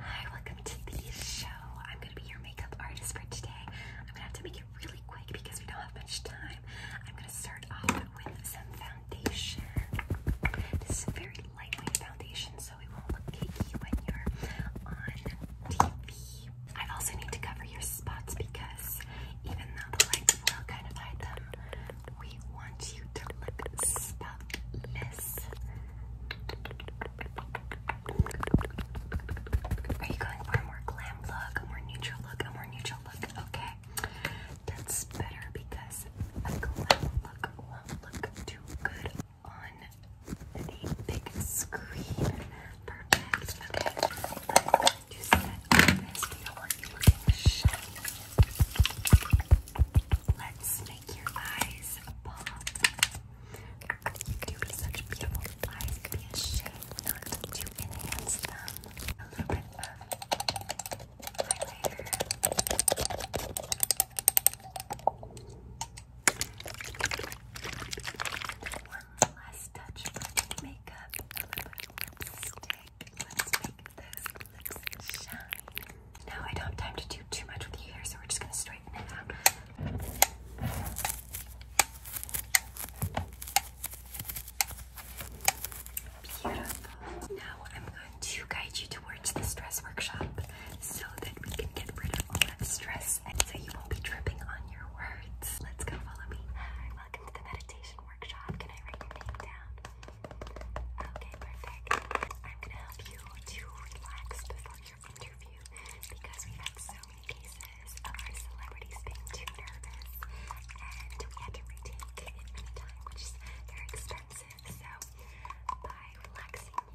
Hi, welcome to the show. I'm gonna be your makeup artist for today. I'm gonna have to make it really quick because we don't have much time. I'm gonna start off with some foundation. This is a very lightweight foundation, so it won't look cakey when you're on TV. I also need to cover your spots because even though the lights will kind of hide them, we want you to look spotless this. Are you going for a more glam look, a more neutral look, a more neutral look? Okay. That's better because a glam look won't look too good on the big screen. Perfect. Okay. Let's do set on Let's make your eyes pop. You do such beautiful eyes. not to enhance them. A little bit One last touch for makeup. A little bit of lipstick make I don't have time to do too much with you here, so we're just gonna straighten it out. Beautiful. Now I'm going to guide you towards the stress workshop so that we can get rid of all that stress and so you won't be tripping on your words. Let's go follow me. welcome to the meditation workshop. Can I write your name down? Okay, perfect. I'm gonna help you to relax before your interview because we've had so many cases of our celebrities being too nervous and we had to retake it many times, which is very expensive. So by relaxing you,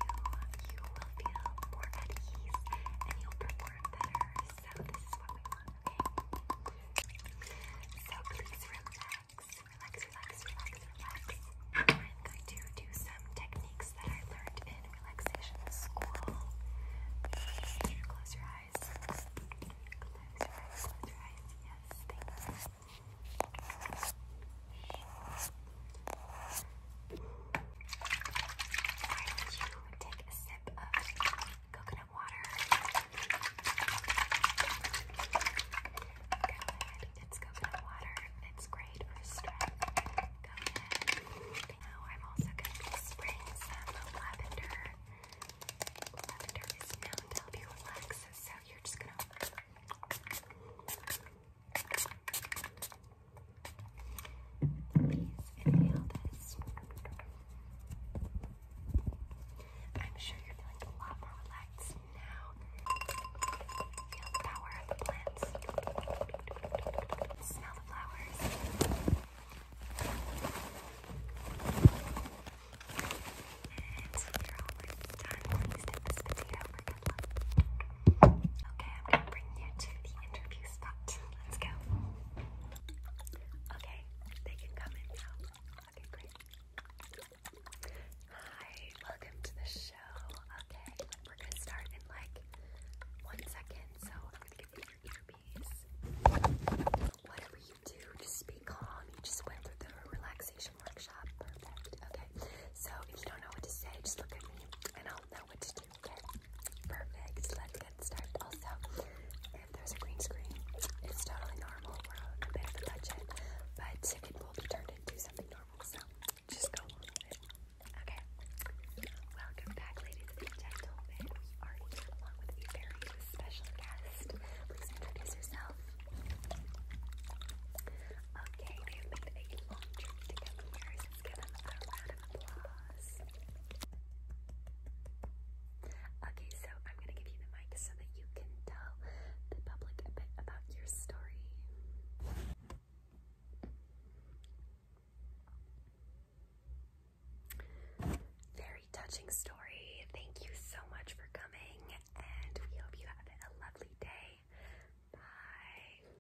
you will feel more at ease and you'll perform better. So this is what we want. So please relax, relax, relax, relax, relax. I'm going to do some techniques that I learned in relaxation school. Close your eyes. Close your eyes. Close your eyes. Yes, thank you. take a sip of coconut water. It's coconut water. It's great for strength. Now I'm also going to be some lavender. Lavender is known to help you relax, so you're just going to. Please inhale this. I'm sure you're feeling a lot more relaxed now. Feel the power of the plants. Smell the flowers. And you're almost done. Please take this potato for good luck. Okay, I'm going you to the interview spot. Let's go. Okay, they can come in now. Okay, great. Hi, welcome to the show. Okay, we're gonna start in like one second, so I'm gonna give you your earpiece. Whatever you do, just be calm. You just went through the relaxation workshop. Perfect. Okay, so if you don't know what to say, just look at me and I'll know what to Okay, perfect. Let's get started. Also, if there's a green screen, it's totally normal. We're on a bit of a budget, but it will be turned into something normal, so just go with it. Okay. Welcome back, ladies and gentlemen. We are here along with a very special guest. Please introduce yourself. Okay, they've made a long trip to come here. Let's give them a round of applause. Okay, so I'm gonna give you the mic so that you can tell the public a bit about your story. Very touching story. Thank you so much for coming, and we hope you have a lovely day. Bye.